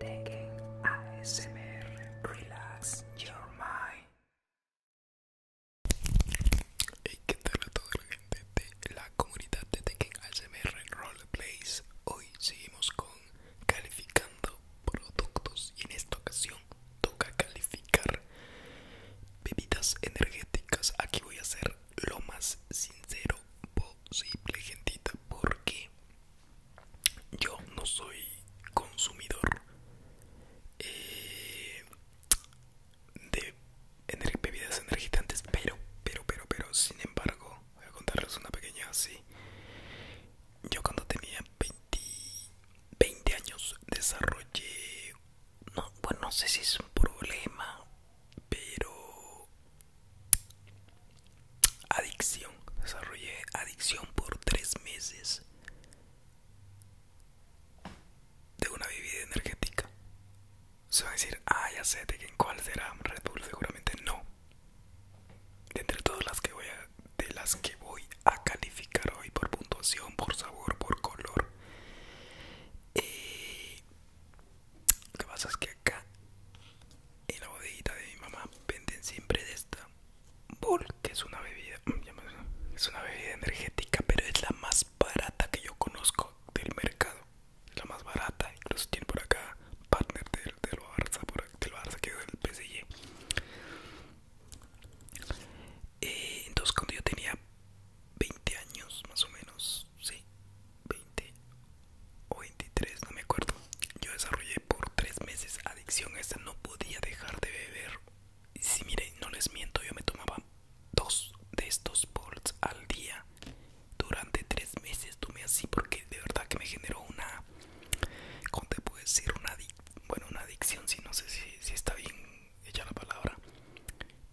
TENGEN ASMR Relax Your Mind. Hey, ¿qué tal a toda la gente de la comunidad de TENGEN ASMR Roleplays? Hoy seguimos con calificando productos y en esta ocasión toca calificar bebidas energéticas. Aquí voy a ser lo más sincero posible, gentita, porque yo no soy consumidor eh, de bebidas energizantes, pero, pero, pero, pero, sin embargo, voy a contarles una pequeña así. Yo cuando tenía 20, años desarrollé, bueno, no sé si es un problema pero adicción desarrollé adicción por tres meses de una bebida energética se va a decir ah ya sé de en cuál será Red Bull seguramente no de entre todas las que voy a de las que voy a calificar hoy por puntuación por sabor por color eh, lo que pasa es que y la bodeguita de mi mamá venden siempre de esta bull que es una bebida mm, es una bebida energética pero es la más barata que yo conozco del mercado es la más barata incluso tiene por acá partner del, lo Barça por, del que es del PSG y eh, entonces cuando yo tenía 20 años más o menos sí 20 o 23, no me acuerdo. Yo desarrollé por 3 meses adicción a esta, no podía dejar de beber. Y si miren, no les miento, yo me tomaba dos de estos bolts al día durante 3 meses. Tomé así porque de verdad que me generó una, ¿cómo te puedo decir? Una, adic bueno, una adicción, si no sé si, si está bien hecha la palabra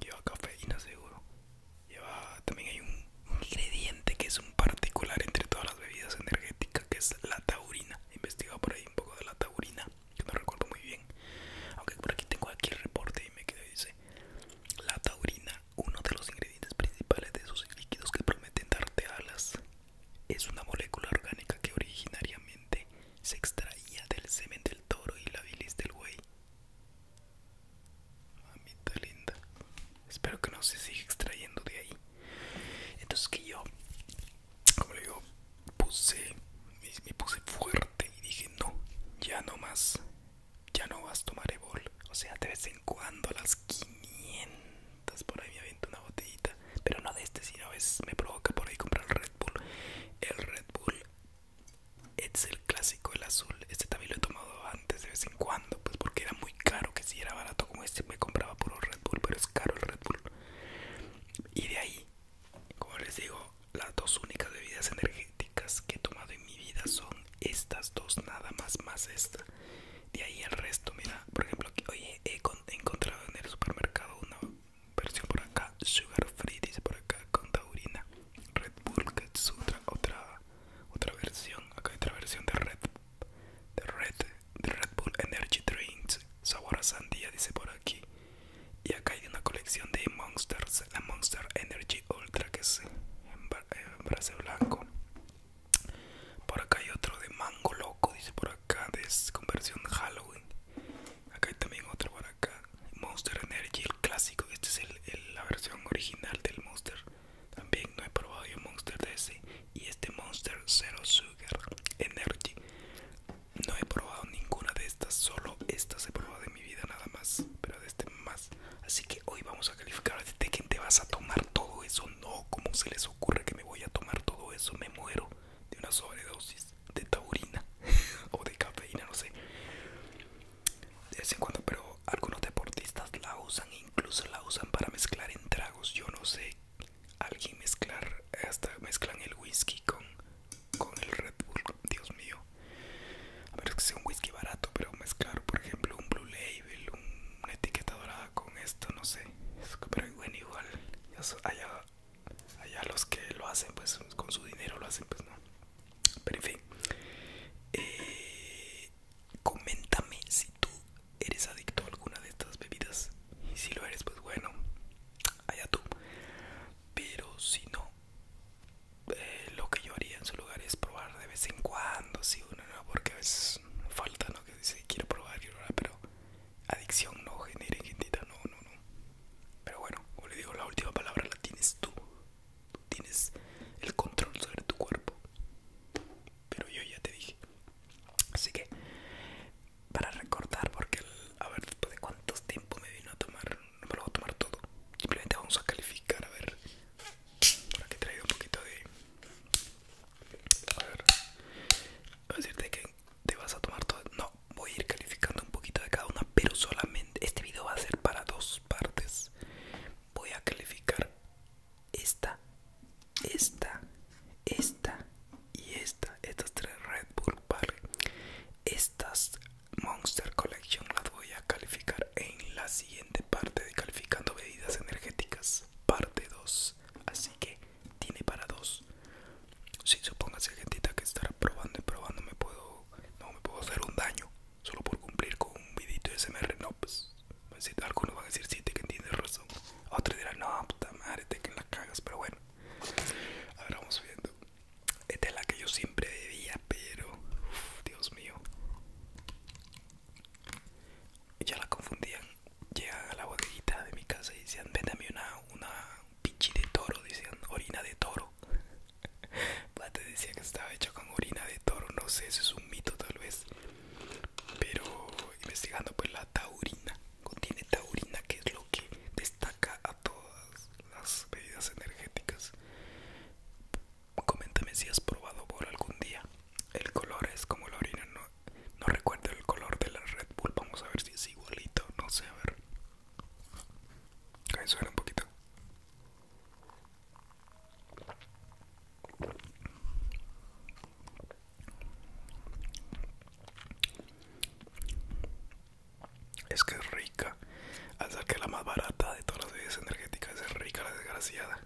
Lleva cafeína seguro. Lleva también hay un ingrediente que es un particular entre todas las bebidas energéticas que es la taurina. He investigado por ahí un poco de la taurina, que no recuerdo muy bien. Aunque por aquí tengo aquí el reporte y me y dice la taurina, uno de los ingredientes principales de esos líquidos que prometen darte alas, es una molécula orgánica que originariamente se extraía del semen del toro y la bilis del güey. Mamita linda. Espero que no se siga extrayendo de ahí. Entonces que yo, como le digo, puse, me, puse fuerte y dije, no, ya no más, ya no vas a tomar Ebol. O sea, de vez en cuando a las 500 por ahí me una botellita. Pero no de este, Si a me provoca por ahí comprar el Red Bull. El Red Bull es el clásico el azul este también lo he tomado antes de vez en cuando pues porque era muy caro que si era barato como este me compraba puro Red Bull pero es caro el Red Bull y de ahí como les digo las dos únicas bebidas energéticas que he tomado en mi vida son estas dos nada más más esta de ahí el resto mira por ejemplo hoy he encontrado en el supermercado una Versión por acá, Sugar Free dice por acá con taurina. Red Bull que otra, otra, versión. Acá hay otra versión de Red, de Red, de Red Bull Energy Drinks. Sabor a sandía dice por aquí. Y acá hay una colección de Monsters, la Monster Energy Ultra que es en, blanco. Por acá hay otro de mango loco, dice por acá, de versión Halloween. Acá hay también otro por Monster Energy, el clásico este es la versión original del Monster También no he probado yo Monster DS Y este Monster Zero Sugar Energy No he probado ninguna de estas Solo esta se probado de mi vida nada más Pero de este más Así que hoy vamos a calificar ¿De quién te vas a tomar todo eso? No, ¿cómo se les ocurre que me voy a tomar todo eso? Me muero de una sobredosis de taurina o de cafeína, no sé. De vez en cuando, pero algunos deportistas la usan, incluso la usan para mezclar en tragos. Yo no sé, alguien mezclar, hasta mezclan el whisky con, con el Red Bull, Dios mío. A ver que es un whisky barato, pero mezclar, por ejemplo, un Blue Label, una etiqueta dorada con esto, no sé. Pero bueno, igual, allá, allá los que lo hacen pues con su dinero lo hacen pues no pero en fin eh, coméntame si tú eres adicto a alguna de estas bebidas y si lo eres pues bueno allá tú pero si no eh, lo que yo haría en su lugar es probar de vez en cuando si uno no porque a veces falta no que dice quiero probar quiero ahora pero adicción no genera gentita no, no, no. Pero bueno, como le digo, la última palabra la tienes tú. tienes el control sobre tu cuerpo. Pero yo ya te dije. Así que, para recordar, porque, a ver, después de cuántos tiempo me vino a tomar, no me lo voy a tomar todo. Simplemente vamos a calificar, a ver. para que he un poquito de... A ver, voy a decirte que te vas a tomar todo. No, voy a ir calificando un poquito de cada una, pero solamente este video va a ser para dos partes. Voy a calificar esta, esta, esta y esta. Estas tres Red Bull, vale. Estas Monster Collection las voy a calificar en la siguiente parte de calificando bebidas energéticas, parte 2. Así que tiene para dos. Si supongas la gentita que estará probando y probando me puedo, no me puedo hacer un daño solo por cumplir con un vidito de SMR, no pues, pues algunos van a decir sí, te que tienes razón, otros dirán no puta madre, te que la cagas, pero bueno, ahora vamos viendo. Esta es la que yo siempre debía, pero Dios mío. Ya la confundían, llegan a la bodeguita de mi casa y decían, véndame una, una, pinche de toro, decían orina de toro. Te decía que estaba hecho con orina de toro, no sé, eso es un mito tal vez. Pero investigando pues la taurina, contiene taurina que es lo que destaca a todas las bebidas energéticas. Coméntame si has probado por algún día. El color es como la orina, no no recuerdo el color de la Red Bull. Vamos a ver si es igualito. No sé, a ver. suena un poquito. Es que es rica. Al ser que la más barata de todas las bebidas energéticas es rica la desgraciada.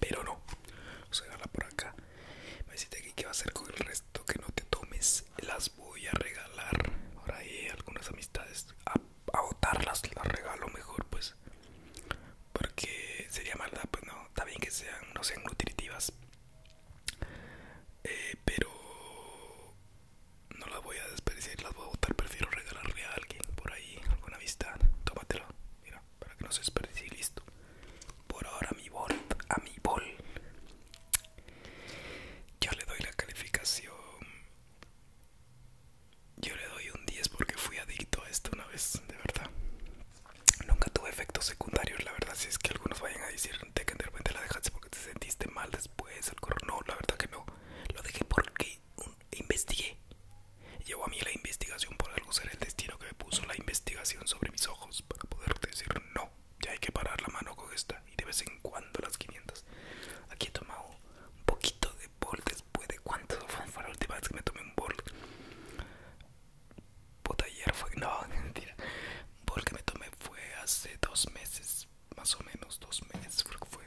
Pero no. se a por acá. Me deciste aquí que va a hacer con el resto que no te tomes. Las voy a regalar. Por ahí algunas amistades. A, votarlas las regalo mejor, pues. Porque sería mala pues no. Está bien que sean, no sean nutritivas. Eh, pero no las voy a desperdiciar, las voy a votar Prefiero regalarle a alguien por ahí, alguna amistad. Tómatelo, mira para, que no se desperdicie listo. Por ahora mi bol, a mi bol. Yo le doy la calificación. Yo le doy un 10 porque fui adicto a esto una vez, de verdad. Nunca tuve efectos secundarios, la verdad. Si es que algunos vayan a decir de que de repente la dejaste porque te sentiste mal después, el coronavirus, No, la verdad que no. Lo dejé porque investigué. Llevo a mí la investigación por ser el destino que me puso la investigación sobre mis ojos para poder decir no. Ya hay que parar la mano con esta y de vez en cuando las 500. Aquí he tomado un poquito de bol después de cuánto fue la última vez que me tomé un bol. Puta, ayer fue. No, mentira. Un bol que me tomé fue hace dos meses, más o menos dos meses, fue.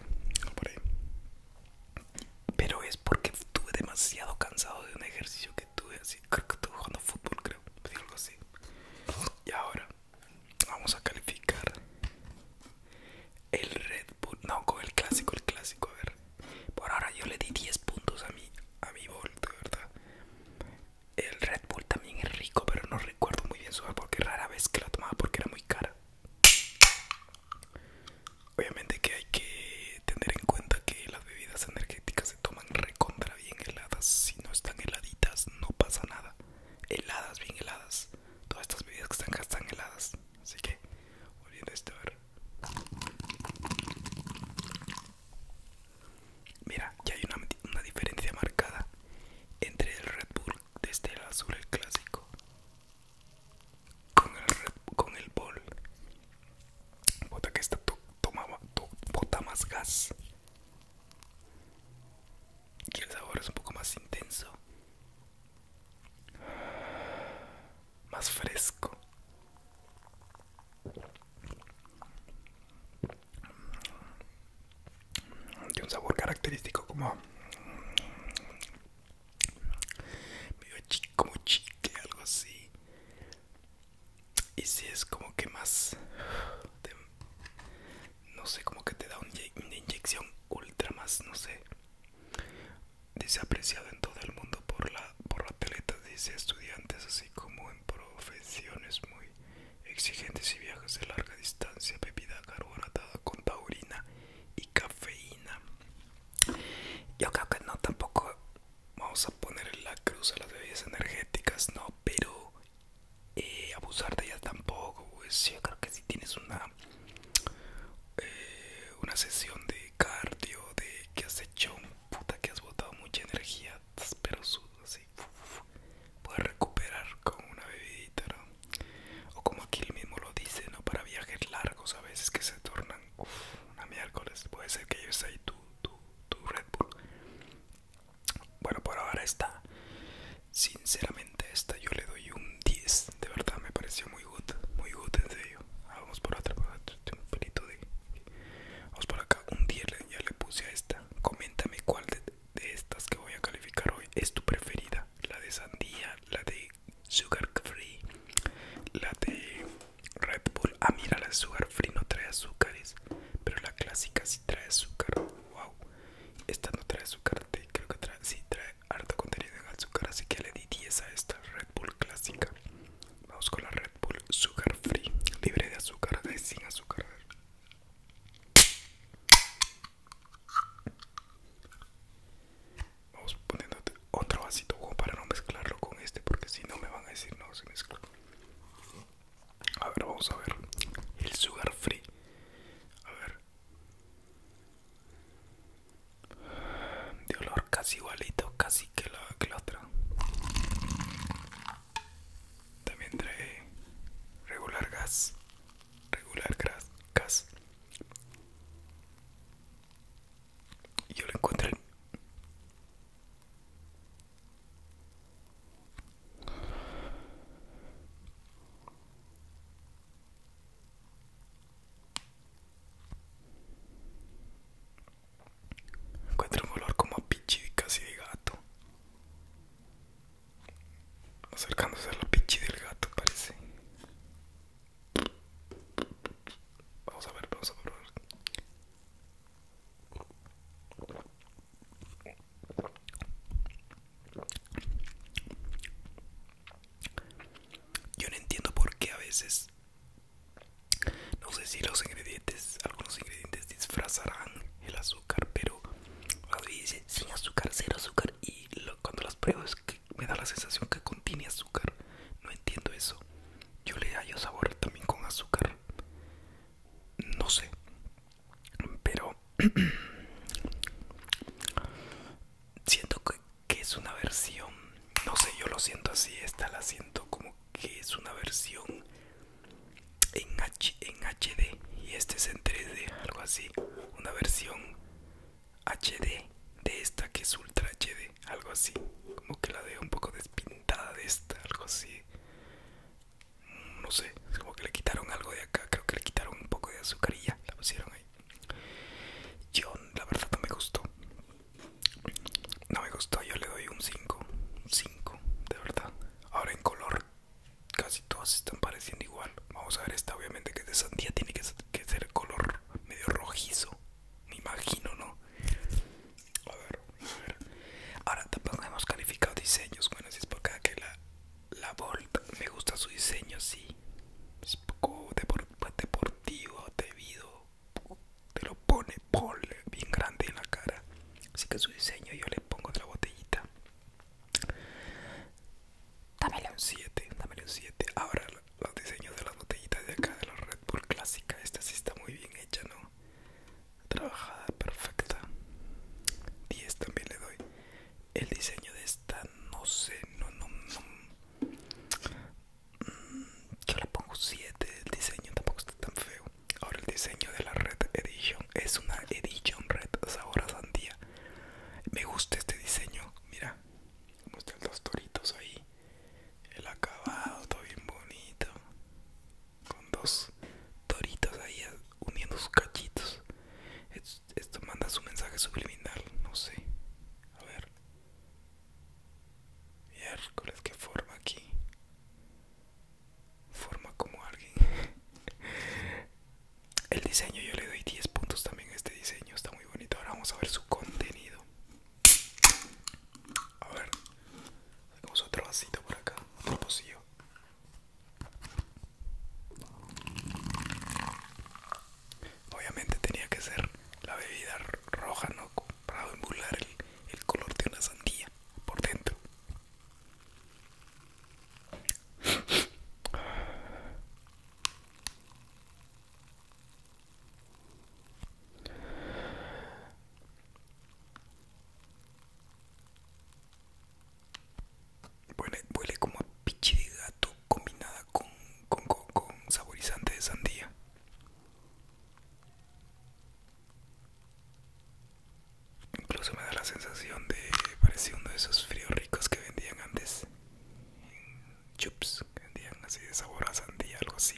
Pero es porque estuve demasiado cansado de un ejercicio estuve así, creo que estuve jugando fútbol, creo, algo así. Y ahora vamos a calificar el Red Bull, no, con el clásico, el clásico, a ver. Por ahora yo le di 10 puntos a mi, a mi ¿verdad? El Red Bull también es rico, pero no recuerdo muy bien su porque rara vez que la tomaba porque era muy cara. Obviamente que hay que tener en cuenta que las bebidas energéticas se toman recontra bien heladas. Si no están heladitas, no pasa nada. Heladas, bien heladas. Todas estas bebidas que están acá están heladas. Así que, volviendo a este, Mira, ya hay una, diferencia marcada entre el Red Bull de este azul, el clásico, con el, con el Ball bota que esta toma toma, bota más gas. Y el sabor es un poco más intenso. Más fresco. Tiene un sabor característico como medio chico, como chique, algo así y si es como que más no sé como que te da una inyección ultra más no sé dice apreciado en todo el mundo por la por atletas dice estudiantes así como en profesiones muy exigentes y viajes de larga distancia bebida carbonatada con taurina y cafeína yo creo que no tampoco vamos a poner en la cruz a las bebidas energéticas, no, pero eh, abusar de ellas tampoco, pues yo creo que si tienes una eh, una sesión de cardio, de que has hecho un puta que has botado mucha energía, pero sudo puedes recuperar con una bebidita, ¿no? O como aquí mismo lo dice, ¿no? Para viajes largos a veces que se tornan una miércoles. Puede ser que yo esté tu, Red Bull. Bueno, por ahora está. Sinceramente, esta yo le doy un 10. De verdad, me pareció muy good. Muy good, en serio. Ah, vamos por otra. de. Vamos por acá. Un 10 ya le puse a esta. Coméntame cuál de estas que voy a calificar hoy es tu preferida: la de sandía, la de Sugar Free, la de Red Bull. Ah, mira, la Sugar Free no trae azúcares, pero la clásica sí trae azúcar. Wow, esta no trae azúcar, creo que trae, sí trae harto contenido en azúcar, así que le di 10 a esta Red Bull clásica. Vamos con la Red Bull Sugar Free, libre de azúcar, de sin azúcar. Vamos poniéndote otro vasito para no mezclarlo con este, porque si no me van a decir no se mezcla. A ver, vamos a ver. El sugar free. A ver. De olor casi igualito, casi que la, que la otra. También trae regular gas. Regular gas. Y yo lo encuentro, Encuentro un color como a pichi casi de gato. Acercándose a la pichi del gato parece. Vamos a ver, vamos a probar. Yo no entiendo por qué a veces, no sé si los ingredientes, algunos ingredientes disfrazarán el azúcar, pero dice sin azúcar, cero azúcar y cuando las pruebas me da la sensación que contiene azúcar. No entiendo eso. Yo le hallo sabor también con azúcar. No sé. Pero siento que, que es una versión. No sé, yo lo siento así. Esta la siento como que es una versión en, en HD. Y este es en 3D, algo así. Una versión HD de esta que es Ultra HD, algo así. Como que la dejo un poco despintada de esta, algo así. Mm, no sé, como que le quitaron algo de acá, creo que le quitaron un poco de azucarilla, la pusieron ahí. Yo, la verdad, no me gustó. No me gustó, yo le doy un 5. 5, de verdad. Ahora en color, casi todas están pareciendo igual. Vamos a ver esta, obviamente, que es de sandía, tiene que ser que el color medio rojizo, me imagino, ¿no? A ver, Ahora tampoco hemos calificado diseños. Bueno, si es por que la, la me gusta su diseño, sí. Es un poco pues, deportivo, debido. Te lo pone, eh, bien grande en la cara. Así que su diseño yo le pongo de la botellita. Dámelo un 7, dámelo un 7. Ahora los diseños de las botellitas de acá de la Red Bull clásica. Esta sí está muy bien hecha, ¿no? Trabajada, perfecta. 10 también le doy. El diseño de esta, no sé, no, no, no. Mm, yo le pongo 7. El diseño tampoco está tan feo. Ahora, el diseño de la Red Edition es una Edition Red Sabor a Sandía. Me gusta este diseño, mira, como dos los toritos ahí el acabado todo bien bonito con dos toritos ahí eh, uniendo sus cachitos esto manda su mensaje subliminal no sé a ver miércoles que forma aquí forma como alguien El diseño, yo le doy 10 puntos también a este diseño, está muy bonito. Ahora vamos a ver su contenido. A ver, hacemos otro vasito por acá, otro pocillo. Obviamente tenía que ser la bebida roja, ¿no? Para embular el, el color de una sandía por dentro. Huele, como a pichi de gato combinada con, saborizante de sandía. Incluso me da la sensación de parecido uno de esos fríos ricos que vendían antes chups que vendían así de sabor a sandía, algo así.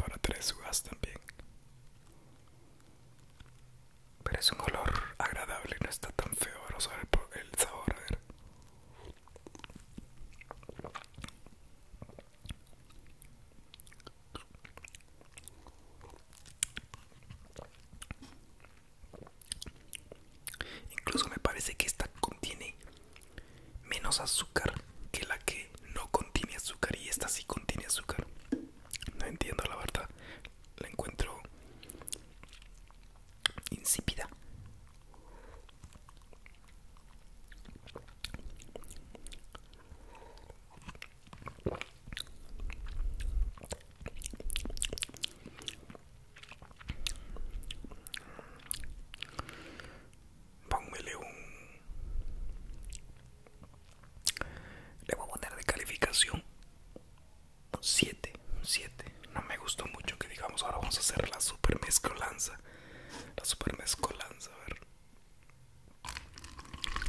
Ahora tres uvas también. Pero es un olor agradable, no está tan feo. Ahora el sabor, a ver. Incluso me parece que esta contiene menos azúcar que la que no contiene azúcar y esta sí contiene azúcar. No entiendo la verdad. La encuentro insípida. Póngale un... Le voy a poner de calificación 7, 7. No me gustó mucho que digamos, ahora vamos a hacer la super mezcolanza. La super mezcolanza, a ver.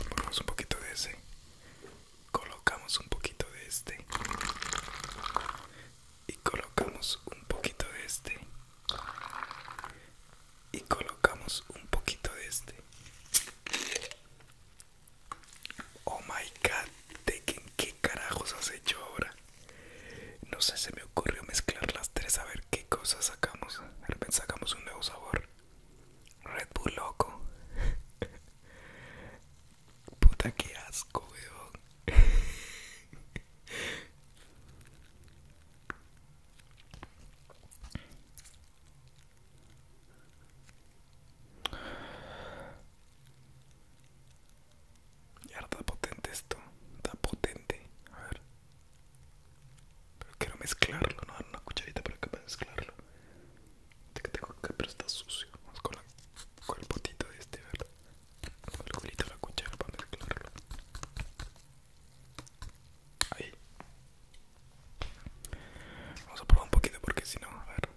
Ponemos un poquito de ese colocamos un poquito de este y colocamos un poquito de este y colocamos un poquito de este oh my god ¿de qué carajos has hecho ahora no sé se me ocurrió mezclar las tres a ver qué cosa sacamos al repente sacamos un nuevo sabor Red Bull loco. Puta que asco, weón. Y está potente esto, está potente. A ver, pero quiero mezclarlo, no, una cucharita pero quiero mezclarlo. Este que tengo pero está sucio. Vamos con, el potito de este, ¿verdad? Con el culito de la cuchara para mezclarlo. Ahí. Vamos a probar un poquito porque si no, a ver.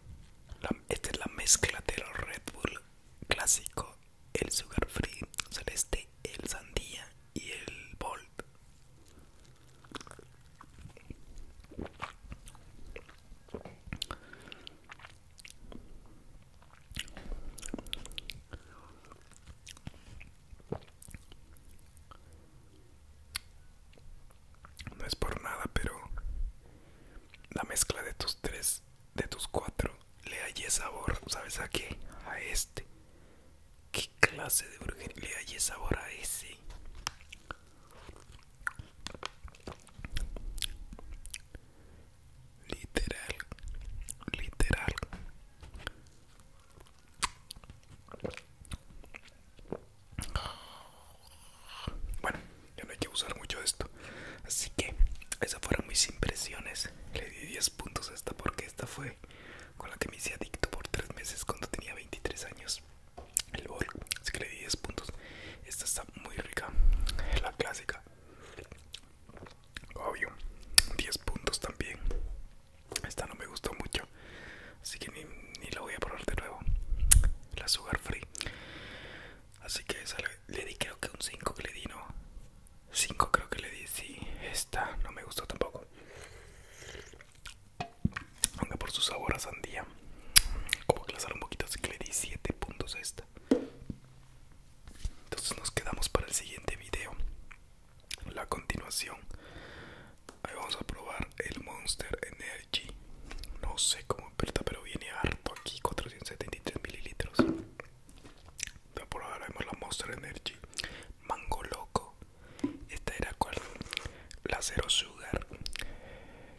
esta es la mezcla de los Red Bull clásico, el Sugar Free, Celeste, el Sandía y el volt no es por nada, pero la mezcla de tus tres, de tus cuatro, le hallé sabor, ¿sabes a qué? A este. ¿Qué clase de brujería? Le hallé sabor a ese. Literal, literal. Bueno, ya no hay que usar mucho esto. Así que esas fueron mis impresiones. Le di 10 puntos a esta porque esta fue con la que me hice adicto por 3 meses cuando tenía 23 años el bol así que le di 10 puntos esta está muy rica la clásica obvio 10 puntos también esta no me gustó mucho así que ni, la voy a probar de nuevo la sugar free así que le, di creo que un 5 que le di no 5 creo que le di sí esta no me gustó tampoco aunque por su sabor a sandía como que la un poquito así que le di 7 puntos a esta entonces nos quedamos para el siguiente video la continuación ahí vamos a probar el monster energy no sé cómo aprieta pero viene harto aquí 473 mililitros vamos ahora vemos la monster energy mango loco. Esta era cual la Zero Sugar,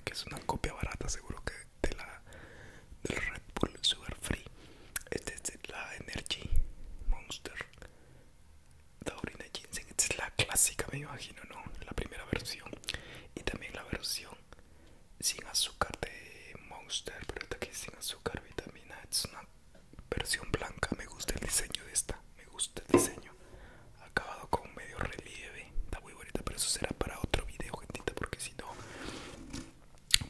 que es una copia barata, seguro que de la del Red Bull Sugar Free. Esta es la Energy Monster. orina Ginseng, esta es la clásica, me imagino, ¿no? La primera versión. Y también la versión sin azúcar de Monster, pero esta que es sin azúcar, vitamina. E, es una versión blanca. Me gusta el diseño de esta. Me gusta el diseño acabado con medio relieve está muy bonita pero eso será para otro video gentita porque si no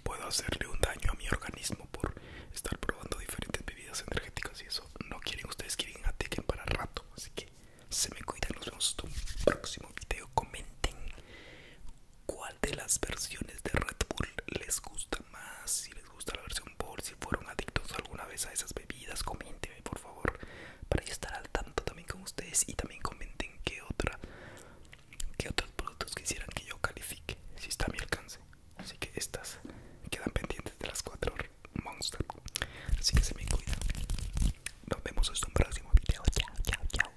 puedo hacerle un daño a mi organismo por estar probando diferentes bebidas energéticas y eso no quieren ustedes que quieren atequen para rato así que se me cuidan nos vemos en un próximo video comenten cuál de las versiones de Red Bull les gusta más si les gusta la versión por si fueron adictos alguna vez a esas bebidas, coméntenme por favor para yo estar al tanto también con ustedes y también comenten qué otra qué otros productos quisieran que yo califique si está a mi alcance así que estas quedan pendientes de las cuatro monster así que se me cuidan nos vemos en un próximo video chao chao chao